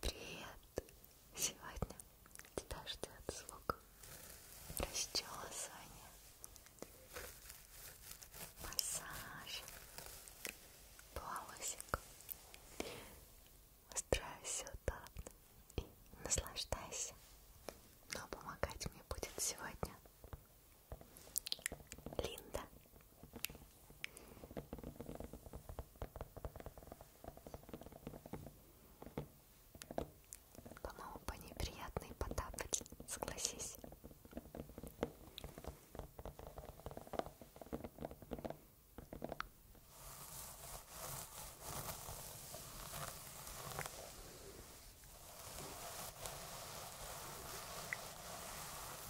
Привет! Сегодня тебя ждет звук расчесывания, массаж, полосик. Устраивайся удобно и наслаждайся. Но помогать мне будет сегодня Линда по-моему, по ней приятно и потапать, согласись.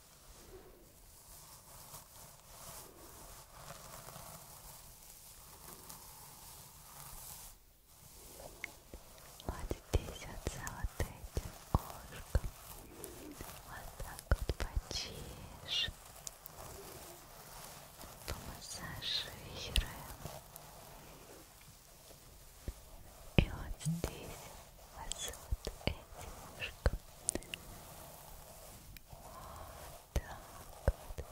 Вот здесь вот за вот этим ушком. Вот так вот почишь. Помассажируем. И вот здесь вас вот эти ушко. Вот так вот. Хорошо.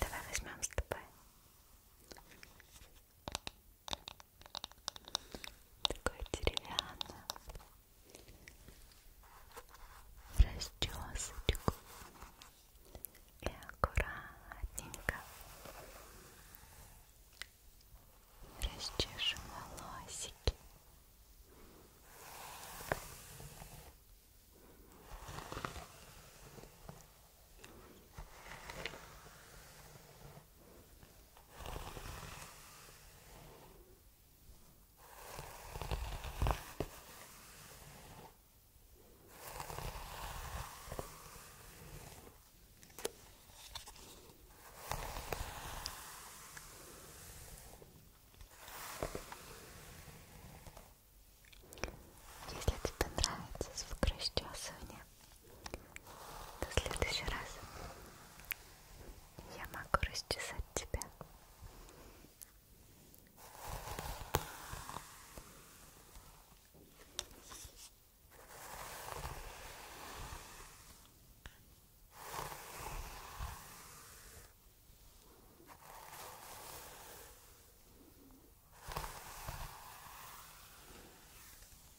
Давай возьмем с тобой такая деревянная в расчесочку и аккуратненько расчешем волосики если тебе нравится звук расчесывания, в следующий раз я могу расчесать тебя.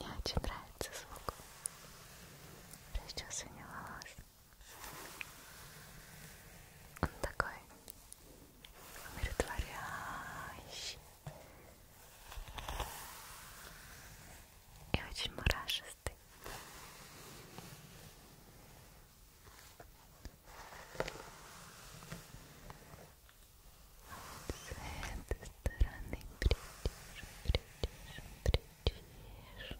Мне очень нравится звук причесывания волос. Он такой умиротворяющий и очень мурашистый. С этой стороны придержи, придержи, придержи чешешь.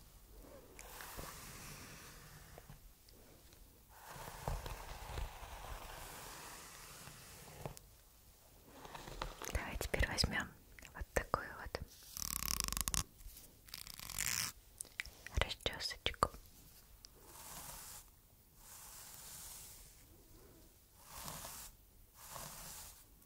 Давай теперь возьмем вот такую вот расчесочку. Ой,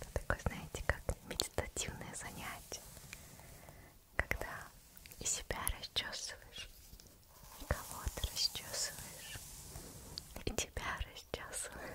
Это такое, знаете, как медитативное занятие, когда и себя расчесываешь, и кого-то расчесываешь, и тебя расчесывают.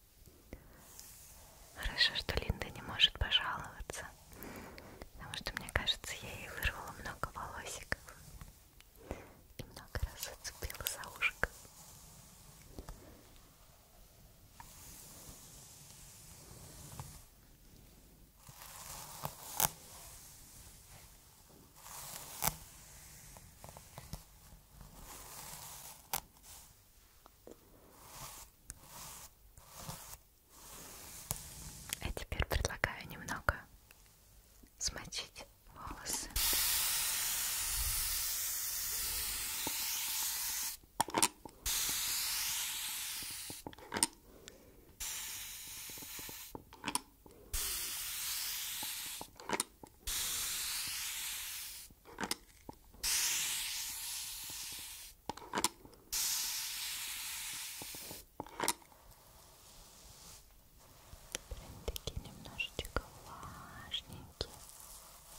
Хорошо, что Линда не может пожаловаться, потому что, мне кажется, я ей вырвала много волосиков и много раз зацепила за ушко. Хорошо. А теперь предлагаю немного смочить волосы. Прям такие немножечко влажненькие. Ой,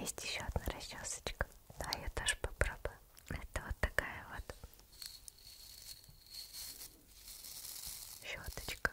Есть еще одна расчесочка. Да, я тоже попробую. Это вот такая вот щеточка.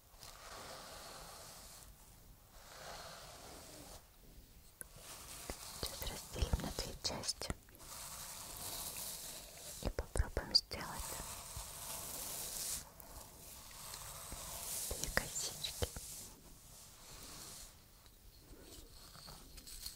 Сейчас разделим на две части и попробуем сделать две косички. Сейчас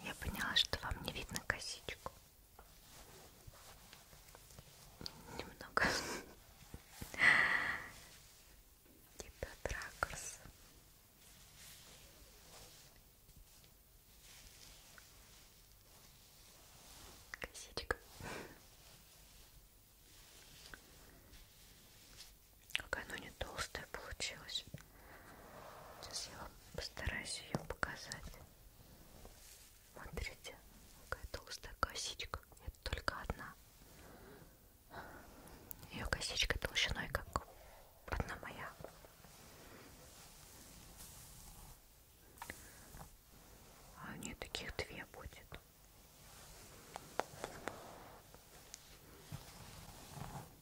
Я поняла, что вам не видно косичку. Немного. Типа тракурс. Косичка. Какая она не толстая получилась. Сейчас я вам постараюсь ее показать. Смотрите, какая толстая косичка. Это только одна. Ее косичка толщиной, как одна моя. А у нее таких две будет.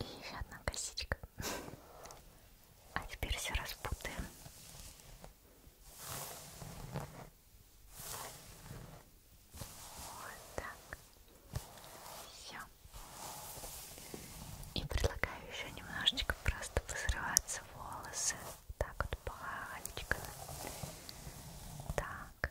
И еще одна косичка. А теперь все распутаем. Вот так. Все. И предлагаю еще немножечко просто позрываться волосы, волосы. Так вот планечко. Так.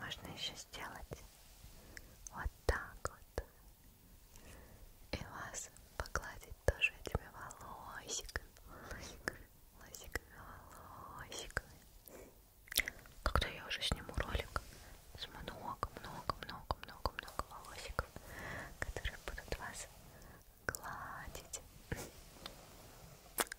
Можно еще сделать вот так вот. И вас погладить тоже этими волосиками, волосиками, волосиками, волосиками. Когда я уже сниму ролик с много, много, много, много, много волосиков, которые будут вас гладить.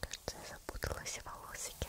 Кажется, я запуталась в волосике.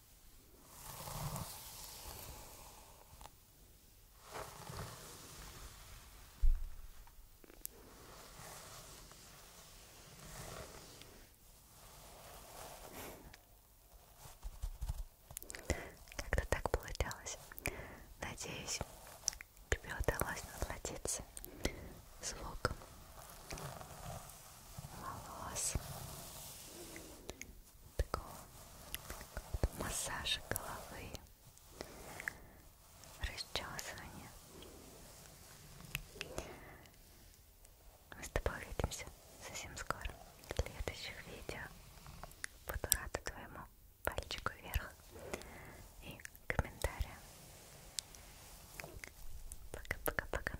Как-то так получалось. Надеюсь, тебе удалось насладиться звуком волос, такого, такого массажа головы, расчесывания. Мы с тобой увидимся совсем скоро в следующих видео. Буду рада твоему пальчику вверх и комментариям. Пока-пока-пока.